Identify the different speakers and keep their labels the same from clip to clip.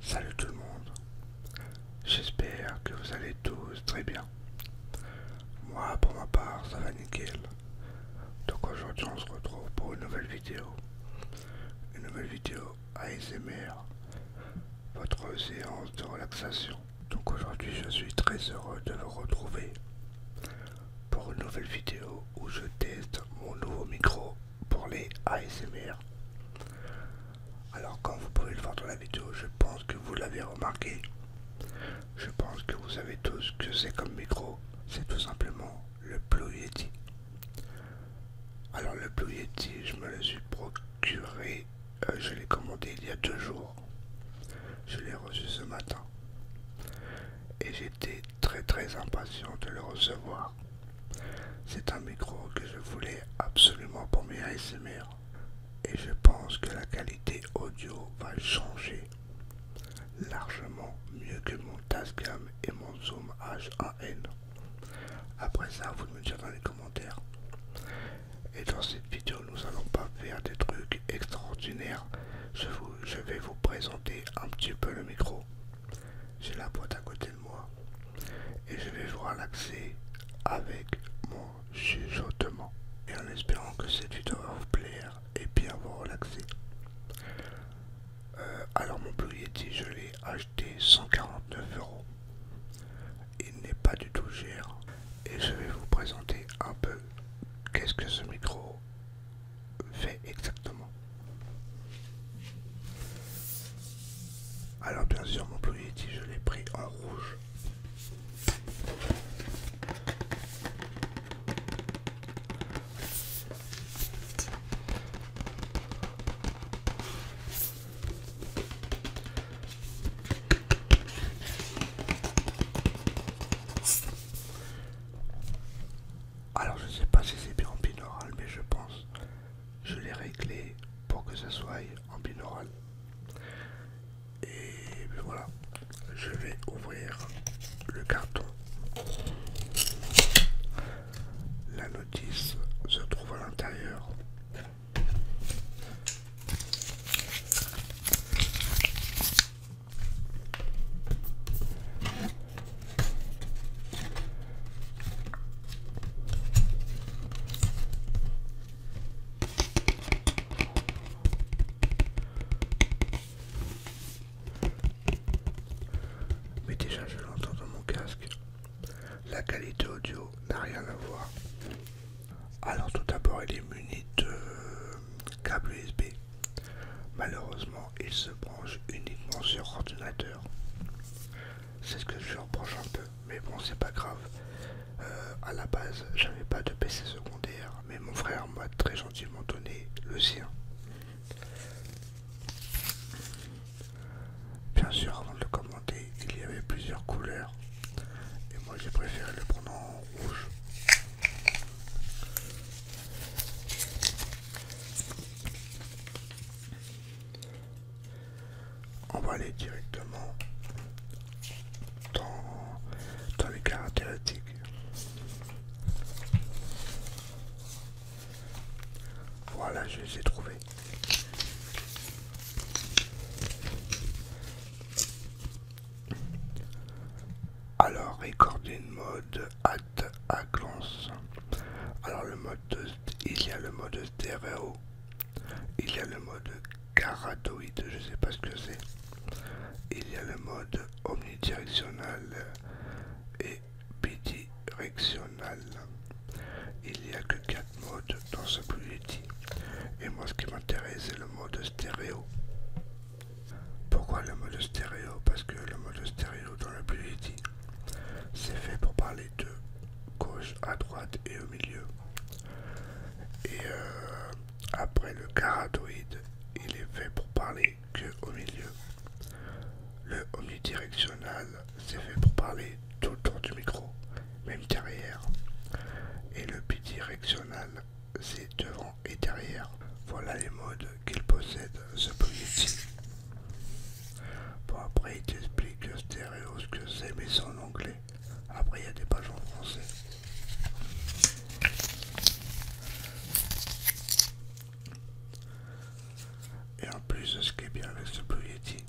Speaker 1: Salut tout le monde, j'espère que vous allez tous très bien. Moi pour ma part ça va nickel. Donc aujourd'hui on se retrouve pour une nouvelle vidéo. Une nouvelle vidéo ASMR, votre séance de relaxation. Donc aujourd'hui je suis très heureux de vous retrouver pour une nouvelle vidéo où je teste mon nouveau micro pour les ASMR. Alors comme vous pouvez le voir dans la vidéo, je pense que vous l'avez remarqué. Je pense que vous savez tous que c'est comme micro. C'est tout simplement le Blue Yeti. Alors le Blue Yeti, je me le suis procuré. Euh, je l'ai commandé il y a deux jours. Je l'ai reçu ce matin. Et j'étais très très impatient de le recevoir. C'est un micro que je voulais absolument pour mes ASMR. Et je pense que la qualité audio va changer largement mieux que mon Tascam et mon Zoom H1N. Après ça, vous me direz dans les commentaires. Et dans cette vidéo, nous allons pas faire des trucs extraordinaires. je vais vous présenter un petit peu le micro. J'ai la boîte à côté de moi et je vais vous relaxer avec mon chuchotement. Et en espérant que cette vidéo va vous plaire et bien vous relaxer. Euh, alors mon Blue Yeti, je l'ai acheté 149 euros. Il n'est pas du tout cher et je vais vous présenter un peu qu'est-ce que ce micro fait exactement. Alors bien sûr mon dit je l'ai pris en rouge. Alors je ne sais pas si c'est bien en binaural, mais je pense. Je l'ai réglé pour que ça soit en binaural. Et ben voilà, je vais ouvrir le carton. La notice se trouve à l'intérieur. Mais déjà je l'entends dans mon casque. La qualité audio n'a rien à voir. Alors tout d'abord il est muni de câble USB. Malheureusement, il se branche uniquement sur ordinateur. C'est ce que je reproche un peu, mais bon, c'est pas grave. Euh, à la base, j'avais pas de PC secondaire, mais mon frère m'a très gentiment donné le sien. Bien sûr, avant de le commenter, il y avait plusieurs couleurs, et moi j'ai préféré le prendre en rouge. On va aller directement dans, les caractéristiques. Voilà, je les ai trouvés. Alors, recording mode at à glance. Alors, le mode il y a le mode stéréo, il y a le mode caratoïde, je sais pas ce que c'est, il y a le mode omnidirectionnel et bidirectionnel. Il n'y a que 4 modes dans ce bulletin. Et moi, ce qui m'intéresse, c'est le mode stéréo. Pourquoi le mode stéréo Parce que le mode stéréo dans le dit, c'est fait pour parler de gauche à droite et au milieu. Et euh, après le caratoïde, il est fait pour parler que au milieu. Le omnidirectionnel, c'est fait pour parler tout autour du micro, même derrière. Et le bidirectionnal, c'est devant et derrière. Voilà les modes qu'il possède, ce policier. Bon, après, il t'explique stéréo ce que c'est, mais c'est en anglais. Après, il y a des pages en français. Et en plus, de ce qui est bien avec ce Yeti,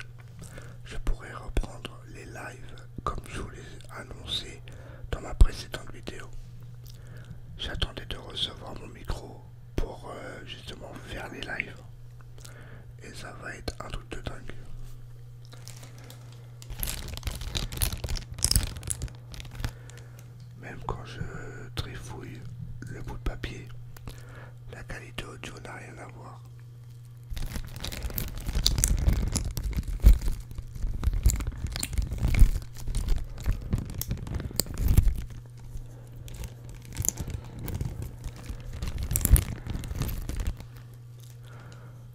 Speaker 1: je pourrais reprendre les lives comme je vous l'ai annoncé dans ma précédente vidéo. J'attendais de recevoir mon micro pour euh, justement faire les lives. Et ça va être un truc de dingue. Même quand je trifouille le bout de papier, la qualité audio n'a rien à voir.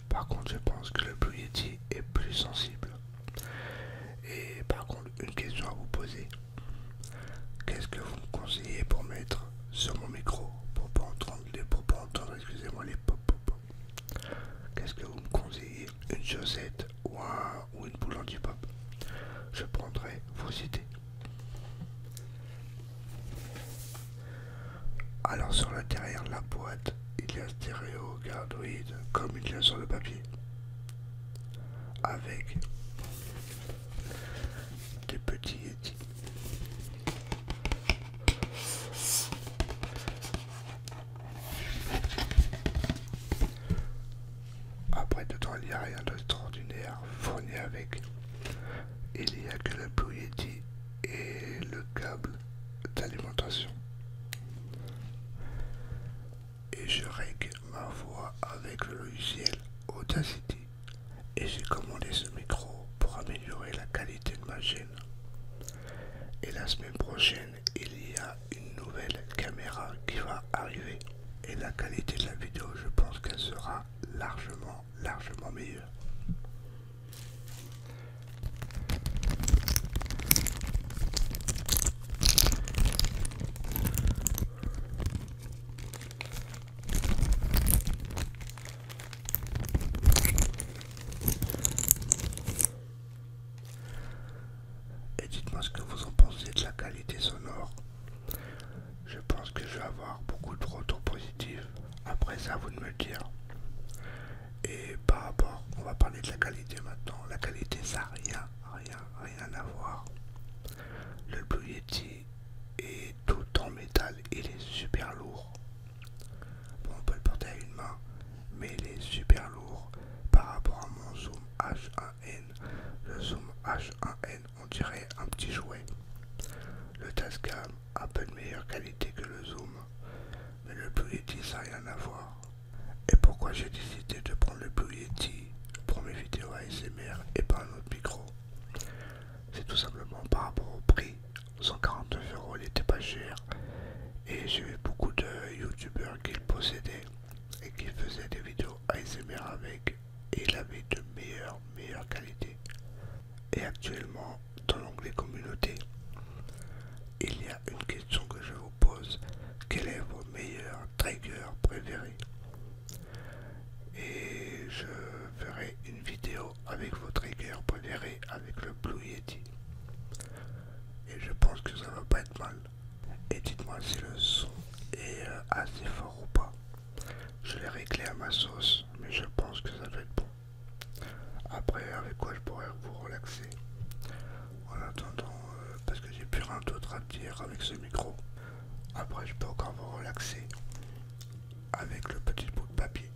Speaker 1: Par contre, je pense que le Blue est plus sensible. Et par contre, une question à vous poser. Qu'est-ce que vous me conseillez pour mettre sur mon micro pour pas entendre les pour pas entendre excusez-moi les pop Qu'est-ce que vous me conseillez Une chaussette ou, une boule anti-pop Je prendrai vos idées. Alors sur l'intérieur de la boîte, il y a stéréo cardioïde comme il y a sur le papier. Avec des petits Yeti. Après dedans il n'y a rien d'extraordinaire fourni avec. Il n'y a que le Blue Yeti et le câble d'alimentation. Et je règle ma voix avec le logiciel Audacity et j'ai commandé ce micro pour améliorer la qualité de ma chaîne. Et la semaine prochaine, il y a une nouvelle caméra qui va arriver. Et la qualité de la vidéo, je pense qu'elle sera largement, largement meilleure. Et dites-moi ce que vous en pensez de la qualité sonore. Je pense que je vais avoir beaucoup de retours positifs. Après ça, vous de me le dire. Et par rapport, on va parler de la qualité maintenant. La qualité, ça n'a rien, rien, rien à voir. Le Blue Yeti et, tout en métal, il est super lourd. Bon, on peut le porter à une main, mais il est super lourd par rapport à mon zoom H1N. Le zoom H1N, on dirait un petit jouet. Le Tascam, a peu de meilleure qualité que le zoom, mais le Blue Yeti, ça n'a rien à voir. Et pourquoi j'ai décidé de prendre le Blue Yeti pour mes vidéos ASMR et pas un autre micro c'est tout simplement par rapport au prix. 149 euros, il était pas cher. Et j'ai vu beaucoup de youtubeurs qui le possédaient et qui faisaient des vidéos ASMR avec. Et il avait de meilleures, meilleures qualités. Et actuellement, dans l'onglet communauté, il y a une question que je vous pose. Quel est vos meilleurs triggers préférés et je ferai une vidéo avec votre rigueur préférée avec le Blue Yeti. Et je pense que ça va pas être mal. Et dites-moi si le son est euh, assez fort ou pas. Je l'ai réglé à ma sauce, mais je pense que ça va être bon. Après, avec quoi je pourrais vous relaxer. En attendant, euh, parce que j'ai plus rien d'autre à dire avec ce micro. Après, je peux encore vous relaxer avec le petit bout de papier.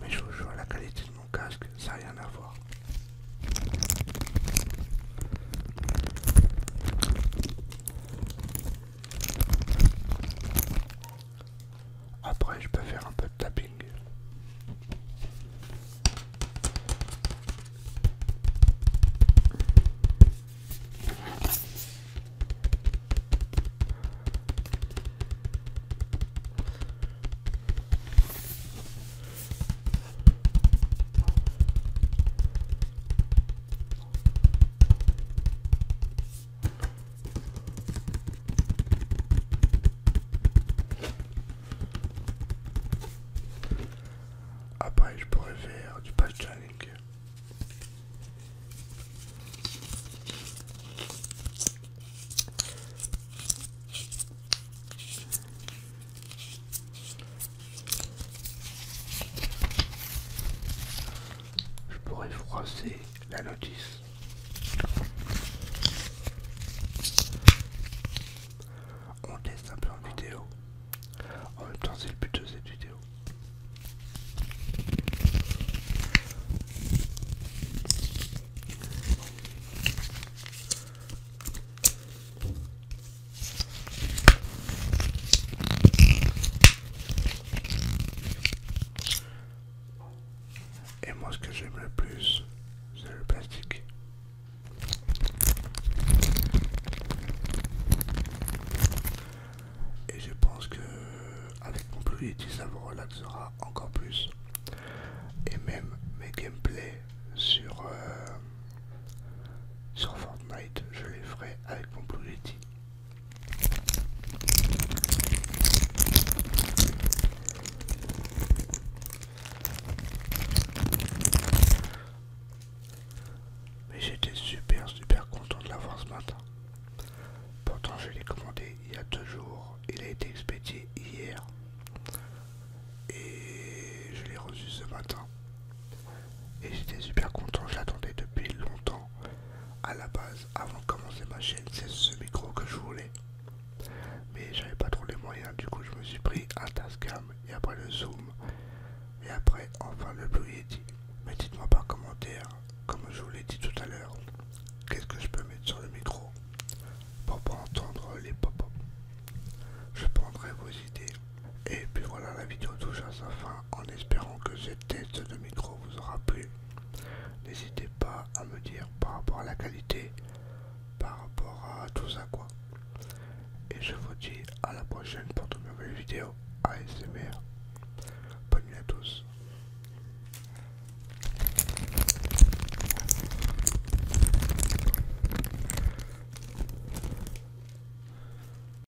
Speaker 1: Mais je vous jure, la qualité de mon casque, ça n'a rien à voir. Après, je peux faire un peu de tapping. Après, je pourrais faire du patch Je pourrais froisser la notice. On teste un peu en vidéo. En même temps, c'est le but de cette vidéo. Et moi ce que j'aime le plus, c'est le plastique. Et je pense que avec mon Yeti, ça vous relaxera encore plus. Et même mes gameplays sur, euh, sur Fortnite, je les ferai avec mon Yeti. Mais j'étais super super content de l'avoir ce matin. Pourtant je l'ai commandé il y a deux jours. Il a été expédié hier. Et je l'ai reçu ce matin. Et j'étais super content, je l'attendais depuis longtemps à la base, avant de commencer ma chaîne, c'est ce micro que je voulais. Mais j'avais pas trop les moyens, du coup je me suis pris un Tascam et après le Zoom et après enfin le Blue Yeti. Mais dites-moi par commentaire, comme je vous l'ai dit tout à l'heure, qu'est-ce que je peux mettre sur le micro pour pas entendre les pop -up. Je prendrai vos idées. Et puis voilà, la vidéo touche à sa fin en espérant que cette tête de micro vous aura plu. N'hésitez pas à me dire par rapport à la qualité, par rapport à tout ça quoi. Et je vous dis à la prochaine pour de nouvelles vidéos ASMR. Bonne nuit à tous.